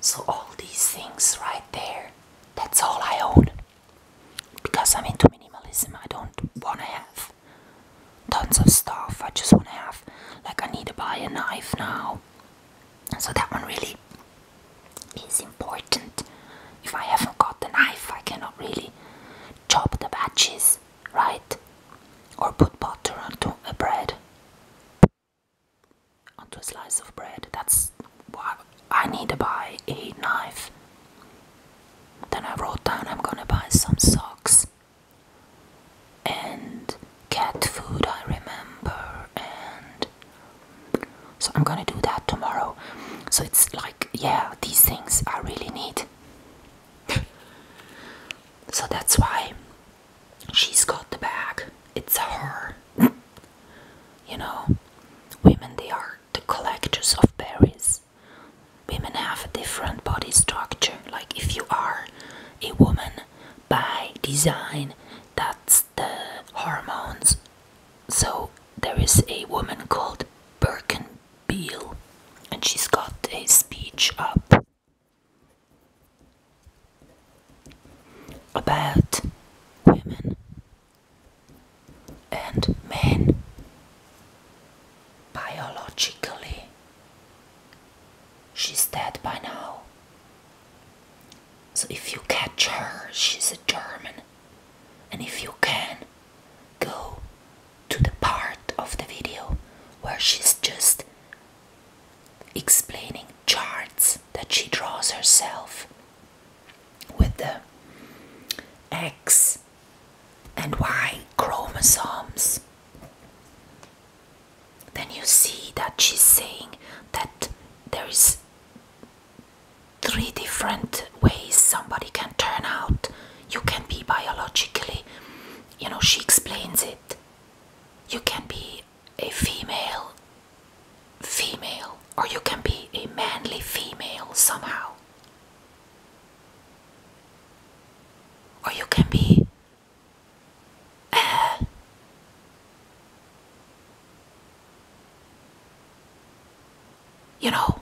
So, all these things right there, that's all I own. Because I'm into minimalism, I don't want to have tons of stuff. I just want to have, like, I need to buy a knife now. So, that one really is important. If I haven't got a knife, I cannot really chop the batches, right? Or put butter onto the bread onto a slice of bread. That's why I need to buy a knife. Then I wrote down I'm gonna buy some socks and cat food, I remember, and so I'm gonna do that tomorrow. So it's like, yeah, these things I really need. so that's why she's got the bag. It's her. you know, women they are the collectors of berries. Women have a different body structure. Like if you are a woman by design, that's the hormones. So there is a woman called Birkin Beale, and she's got a speech up about women and men biologically. She's dead by now. So if you catch her, she's a German. And if you can, go to the part of the video where she's just explaining charts that she draws herself with the X and Y chromosomes. Then you see that she's saying that there is three different ways somebody can turn out you can be biologically, you know, she explains it. You can be a female female, or you can be a manly female somehow. Or you can be uh, you know,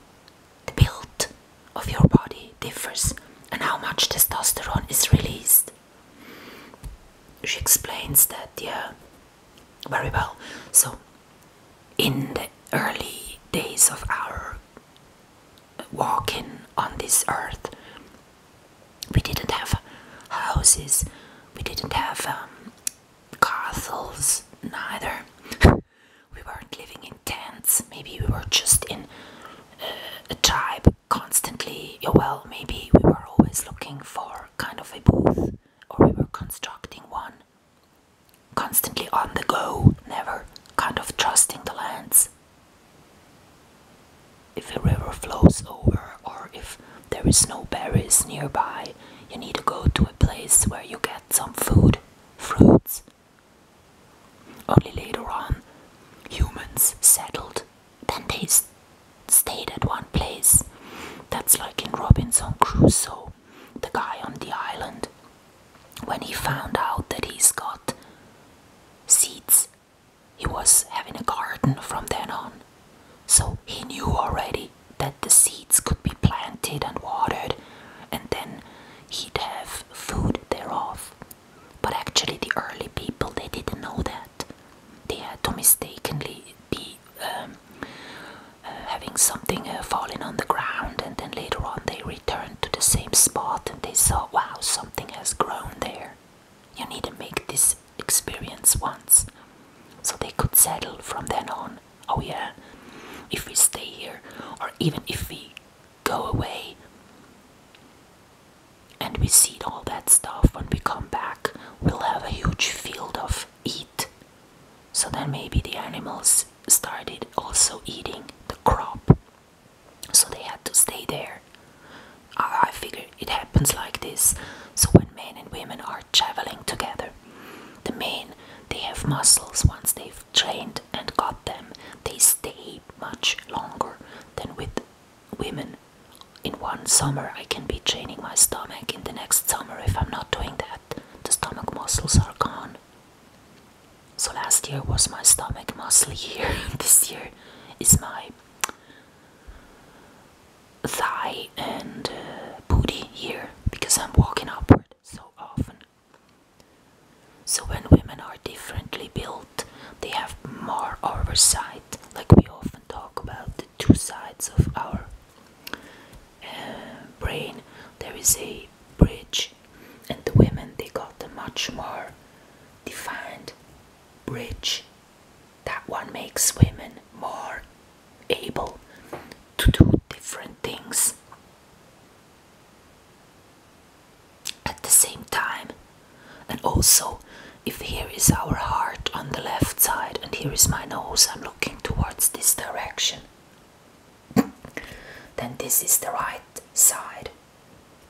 the build of your body differs and how much testosterone is released. She explains that, yeah, very well. So, in the early days of our walking on this earth, we didn't have houses, we didn't have um, castles, neither. we weren't living in tents maybe we were just in uh, a tribe constantly well maybe we were always looking for kind of a booth or we were constructing one constantly on the go never kind of trusting the lands if a river flows over or if there is no berries nearby you need to go to a place where you get some food, fruits. Only later on, humans settled. Then they stayed at one place. That's like in Robinson Crusoe, the guy on the island. When he found out that he's got seeds, he was having a garden from then on. So he knew already that the seeds could be planted and watered, and then he'd have food thereof. But actually, the early people they didn't know that. They had to mistakenly be um, uh, having something uh, falling on the ground, and then later on they returned to the same spot and they saw, wow, something has grown there. You need to make this experience once, so they could settle from then on. Oh, yeah, if we stay here, or even if we go away and we seed all that stuff, when we come back, we'll have a huge field of eat. So then maybe the animals started also eating the crop, so they had to stay there. I figure it happens like this. So when men and women are traveling together, the men they have muscles once they've trained and got them, they stay much longer than with women. In one summer, I can be training my stomach. In the next summer, if I'm not doing that, the stomach muscles are gone. So last year was my stomach muscle year. this year is my thigh and uh, booty here because I'm walking upward so often. So when women are differently built, they have more oversight, like we often talk about the two sides of our uh, brain. There is a bridge, and the women they got a much more defined bridge that one makes women more able to do different things. At the same time, and also if here is our heart on the left side and here is my nose, I'm looking towards this direction, then this is the right side,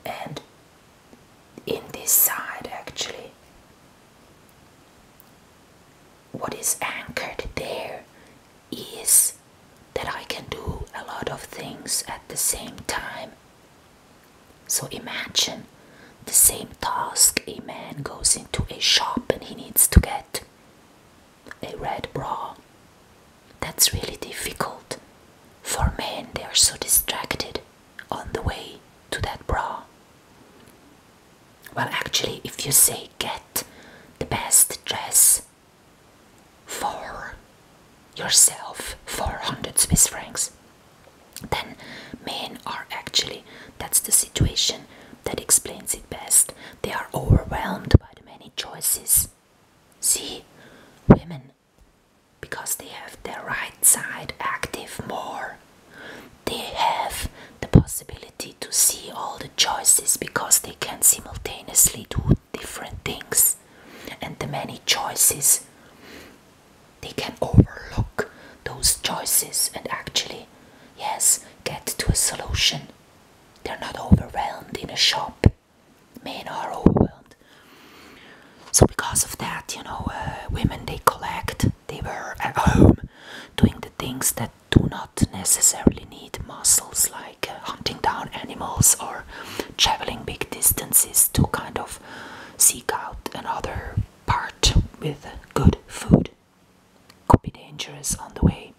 and in this side actually what is anchored there is that I can do a lot of things at the same time. So imagine the same task a man goes into a shop and he needs to get a red bra that's really difficult for men they are so distracted on the way to that bra well actually if you say get the best dress for yourself for 100 swiss francs then men are actually that's the situation that explains it best they are overwhelmed by the many choices see women because they have their right side active more. They have the possibility to see all the choices because they can simultaneously do different things and the many choices. They can overlook those choices and actually, yes, get to a solution. They're not overwhelmed in a shop men are overwhelmed. So because of that, you know, uh, women they collect. They were at home doing the things that do not necessarily need muscles, like uh, hunting down animals or traveling big distances to kind of seek out another part with good food. Could be dangerous on the way.